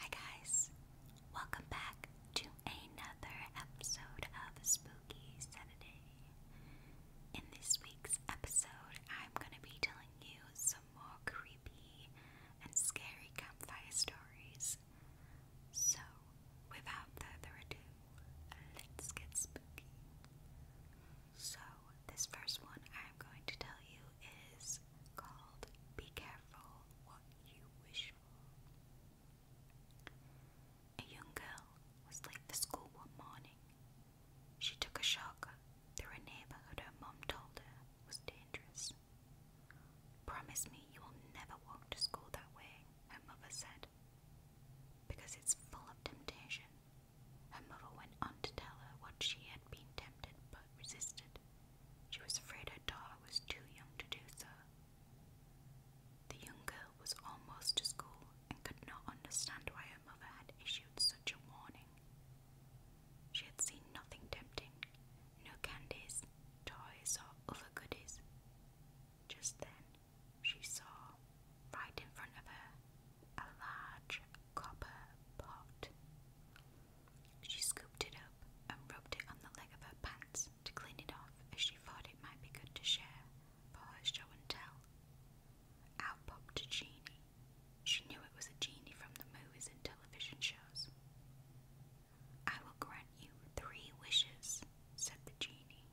Hi guys, welcome back to another episode of Spooky Saturday. In this week's episode, I'm going to be telling you some more creepy and scary campfire stories. So, without further ado, let's get spooky. So, this first one I'm going to tell you is called Be Careful What You Wish For. A young girl was late for school one morning. She took a shortcut through a neighborhood her mom told her was dangerous. Promise me you will never walk to school that way, her mother said. Because it's full of temptation. Her mother went on to tell her what she had been tempted but resisted. She was afraid her daughter was too young to do so. The young girl was almost to school and could not understand why her mother had issued such a warning. She had seen nothing tempting, no candies, toys, or other goodies. Just then, she saw, right in front of her, a large copper pot. She scooped it up and rubbed it on the leg of her pants to clean it off, as she thought it might be good to share for her show and tell. Out popped a genie. She knew it was a genie from the movies and television shows. I will grant you three wishes, said the genie.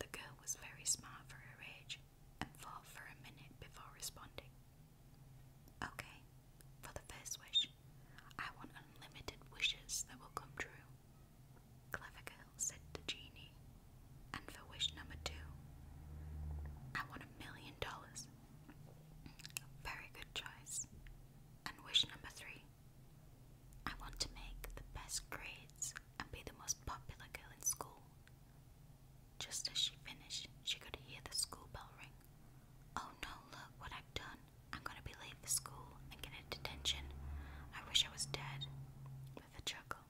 The girl was very smart for her age and thought for a minute before responding. Okay, for the first wish, I want unlimited wishes that will come true. Clever girl, said the genie. And for wish number two, I want a million dollars. Very good choice. And wish number three, I want to make the best grades and be the most popular girl in school. Just as she finished, she could hear the school bell ring. Oh no, look what I've done. I'm gonna be late for school and get a detention. I wish I was dead. With a chuckle,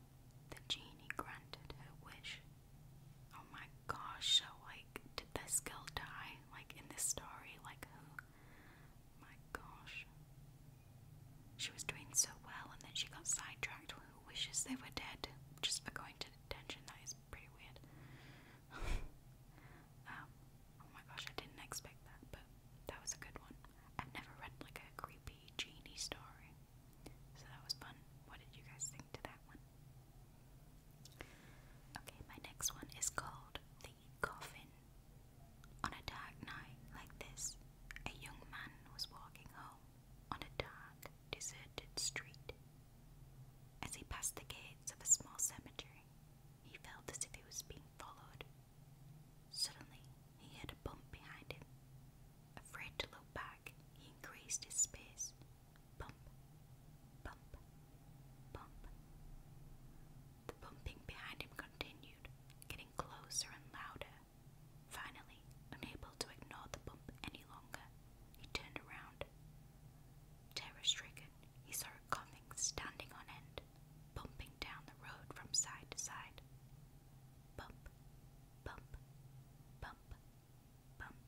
the genie granted her wish. Oh my gosh, so like, did this girl die? Like, in this story? Like, oh My gosh. She was doing so well, and then she got sidetracked with who wishes they were dead just for going to detention. That is pretty weird. Um, oh my gosh, I didn't expect that, but that was a good one. I've never read like a creepy genie story, so that was fun. What did you guys think to that one? Okay, my next one is called The Coffin. On a dark night like this, a young man was walking home on a dark, deserted street. As he passed the gates of a small cemetery, he felt as if he was being followed. Suddenly, he heard a bump behind him. Afraid to look back, he increased his pace. Bump, bump, bump. The bumping behind him continued, getting closer and louder. Finally, unable to ignore the bump any longer, he turned around Terror he saw her coughing standing on end, bumping down the road from side to side. Bump, bump, bump, bump.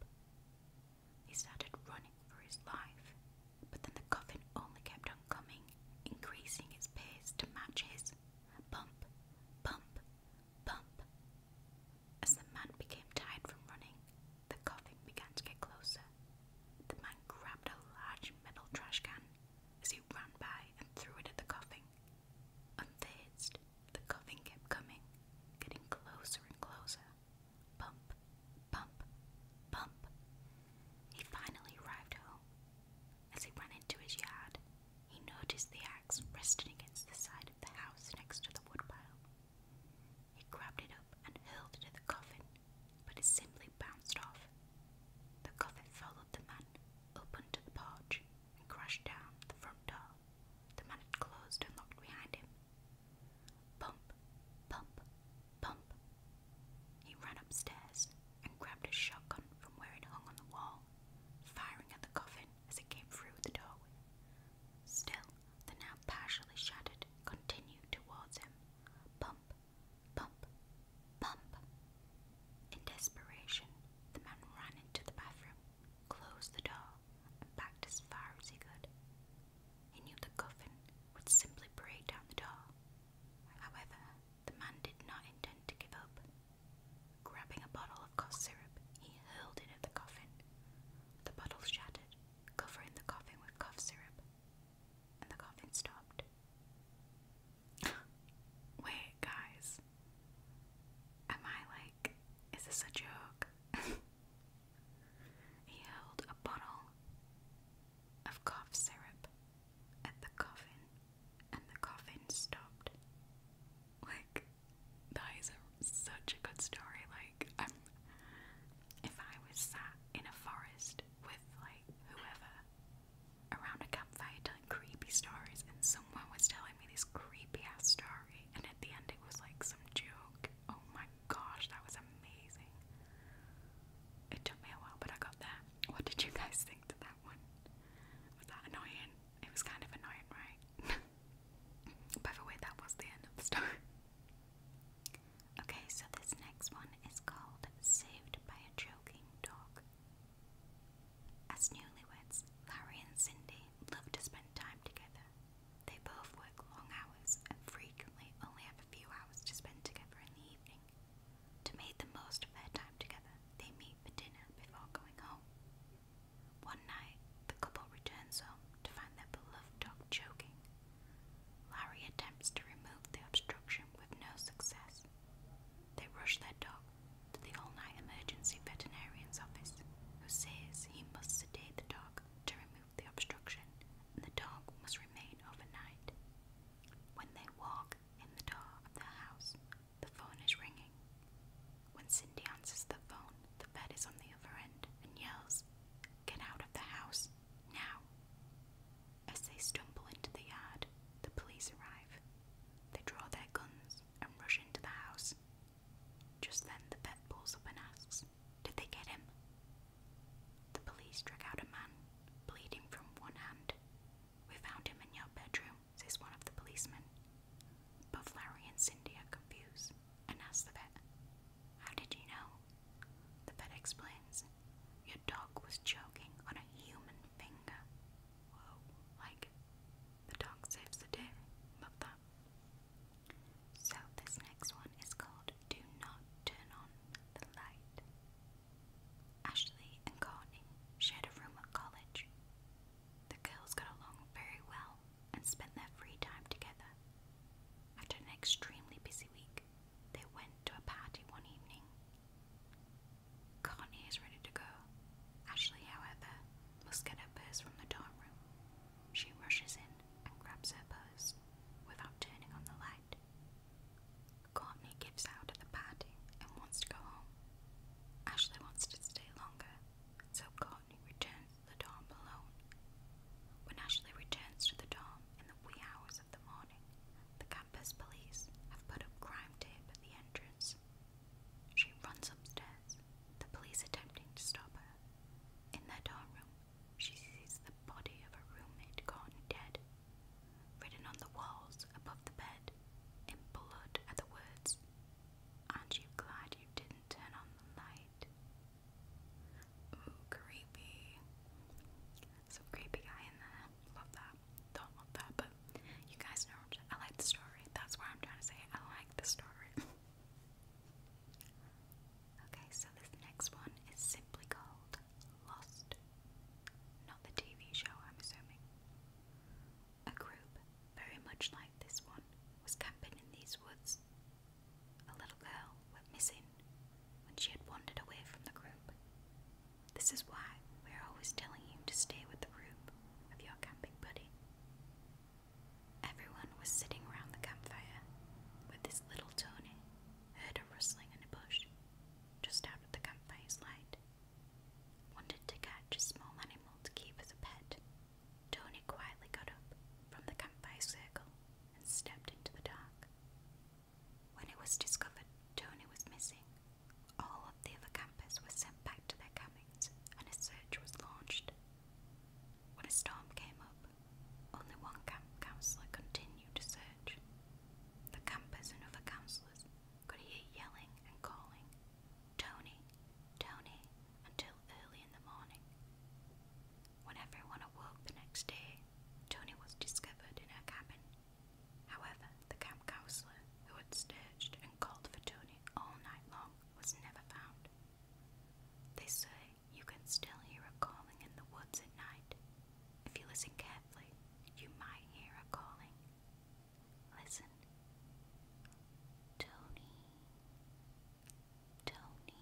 He started running for his life, but then the coffin only kept on coming, increasing its pace to match his. Bump, bump, bump. As the man became tired from running, the coffin began to get closer. The man grabbed a large metal trash can as he ran by and threw it at the coffin. Unfazed, the coffin kept coming, getting closer and closer. Bump, bump, bump. He finally arrived home. As he ran into his yard, he noticed the axe resting against the side of the house next to the woodpile. He grabbed it up and hurled it at the coffin, but it simply bounced off. The coffin followed the man up onto the porch and crashed down the front door. The man closed and locked behind him. Pump, pump, pump. He ran upstairs and grabbed his shotgun from where it hung on the wall, firing at the coffin as it came through the doorway. Still, the now partially shattered continued towards him. Bump, bump, bump. In desperation, the man ran into the bathroom, closed the door, and backed as far as he could. He knew the coffin would simply break down the door. However, the man did not intend to give up. Grabbing a bottle of cough syrup, he hurled it at the coffin. The bottle shattered, covering the coughing with cough syrup, and the coughing stopped. Wait, guys. Am I like, is this a joke? he held a bottle of cough syrup at the coffin, and the coffin stopped. Like, that is a, such a good story. Like, um, if I was sat in a forest with like whoever around a campfire telling creepy stories, and someone was telling me this creepy ass story, and at the end it was like some joke. Oh my gosh, that was amazing! It took me a while, but I got there. What did you guys think to that one? Was that annoying? It was kind of annoying, right? By the way, that was the end of the story. Okay, so this next one is called Saved by a Joking Dog. As newlyweds, Larry and Cindy love to spend time together. They both work long hours and frequently only have a few hours to spend together in the evening. To make the most of their time together, they meet for dinner before going home. One night, the couple returns home to find their beloved dog choking. Larry attempts to remove the obstruction with no success. They rush their dog to the all night emergency veterinarian's office, who says he must sedate the dog to remove the obstruction and the dog must remain overnight. When they walk in the door of the house, the phone is ringing. When Cindy answers the phone, the bed is on the other end and yells, Get out of the house, now! As they stumble into the yard, the police arrive. They draw their guns and rush into the house. Just then, the vet pulls up and asks, Did they get him? The police drag out a man, bleeding from one hand. We found him in your bedroom, says one of the policemen. But Larry and Cindy are confused and ask the vet, How did you know? The vet explains, Your dog was choking on a human finger. Whoa, like, the dog saves the day. Love that. So, this next one is called Do Not Turn On the Light. Ashley and Connie shared a room at college. The girls got along very well and spend their free time together. After an extremely busy week, they went to a party one evening. Connie is ready to go. Ashley, however, must get her purse from the dorm room. She rushes in and grabs her purse without turning on the light. Courtney gives out at the party and wants to go home. Ashley wants to stay longer, so Rodney returns to the dorm alone. When Ashley returns to the dorm in the wee hours of the morning, the campus police have put up crime tape at the entrance. She runs upstairs, the police attempting to stop her. In their dorm room, she sees the body of her roommate gone dead. Written on the walls above the bed, in blood, are the words, Aren't you glad you didn't turn on the light? Ooh, creepy. Some creepy guy in there. Love that. Don't love that, but you guys know I like the story. That's why I'm trying to say. I like the story. okay, so this next one is simply called Lost. Not the TV show, I'm assuming. A group very much like this one was camping in these woods a little girl went missing when she had wandered away from the group. This is why we are always telling you to stay with the group of your camping buddy. Everyone was sitting around the campfire when this little Tony heard a rustling in a bush just out of the campfire's light. Wanted to catch a small animal to keep as a pet, Tony quietly got up from the campfire circle and stepped into the dark. When it was discovered Tony was missing, all of the other campers were sent back to their cabins and a search was launched. When a storm came up, only one camp counselor continued to search. The campers and other counselors could hear yelling and calling. Tony, Tony until early in the morning. When everyone awoke the next day, Tony was discovered in her cabin. However, the camp counselor, who had searched and called for Tony all night long, was never found. They say you can still hear her calling in the woods at night. If you listen carefully, you might hear her calling. Listen. Tony, Tony.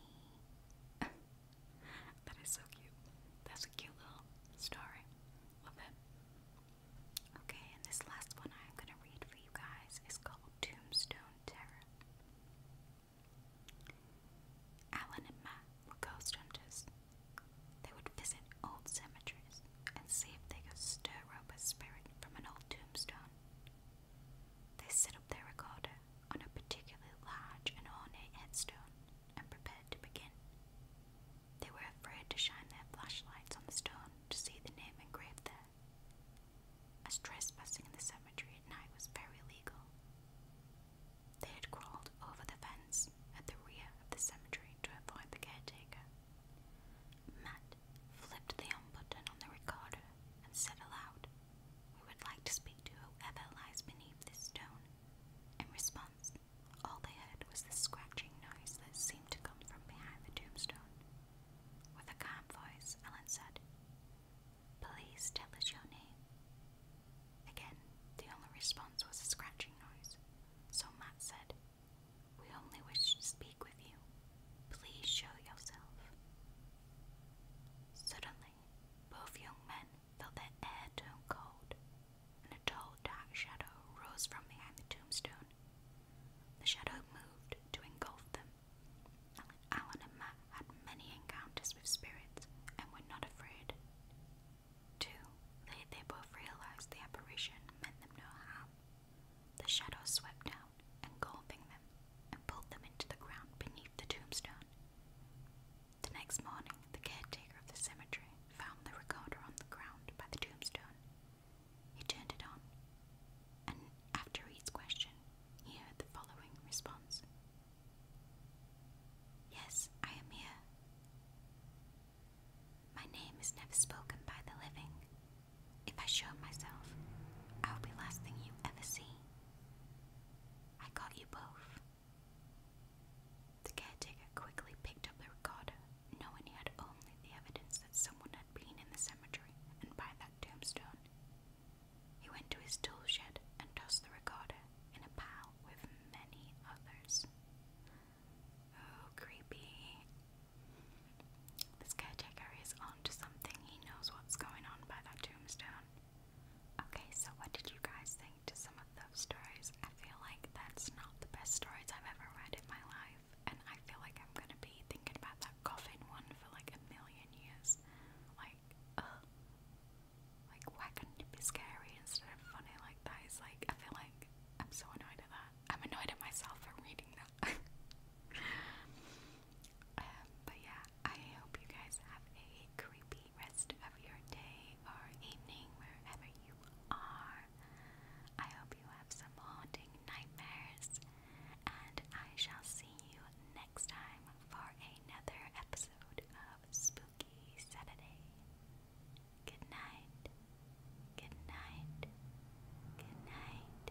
that is so cute. That's a cute little story. Love it. Okay, and this last one I'm gonna read for you guys is called Tombstone Terror. Alan and Matt were ghost hunters. They would visit old cemeteries and see if they could stir up a spirit from an old tombstone. They set up their recorder on a particularly large and ornate headstone and prepared to begin. They were afraid to shine their flashlights on the stone to see the name engraved there, as trespassing in the cemetery at night was very illegal. They had crawled over the fence at the rear of the cemetery to avoid the caretaker. Matt flipped the on button on the recorder and said aloud, we would like to speak to whoever lies beneath this stone. In response, all they heard was the scratching noise that seemed to come from behind the tombstone. With a calm voice, Ellen said, Please tell us your name. Again, the only response was a scratching noise, so Matt said, We only wish to speak with you. Please show yourself. Suddenly, both young men felt their air turn cold, and a tall, dark shadow rose from behind the tombstone. The shadow moved to engulf them. Alan and Matt had many encounters with spirits and were not afraid. Two, they, both realized the apparition meant them no harm. The shadow swept down down them, and pulled them into the ground beneath the tombstone. The next morning, the caretaker of the cemetery found the recorder on the ground by the tombstone. He turned it on, and after each question, he heard the following response Yes, I am here. My name is never spoken by the living, if I show myself, I'll be the last thing you ever see. I got you both. The caretaker quickly picked up the recorder, knowing he had only the evidence that someone had been in the cemetery and by that tombstone. He went to his tool shed and tossed the recorder in a pile with many others. Oh, creepy. This caretaker is onto something. He knows what's going on by that tombstone. Okay, so what did you guys think to some of those stories? I feel like that's not the best stories I've ever read in my life, and I feel like I'm gonna be thinking about that coffin one for like a million years. Like, like why couldn't it be scary instead of funny like that? like I feel like I'm so annoyed at that. I'm annoyed at myself for reading that. Um, but yeah, I hope you guys have a creepy rest of your day or evening wherever you are. I hope you have some haunting nightmares, and I shall see you next time for another episode of Spooky Saturday. Good night. Good night. Good night.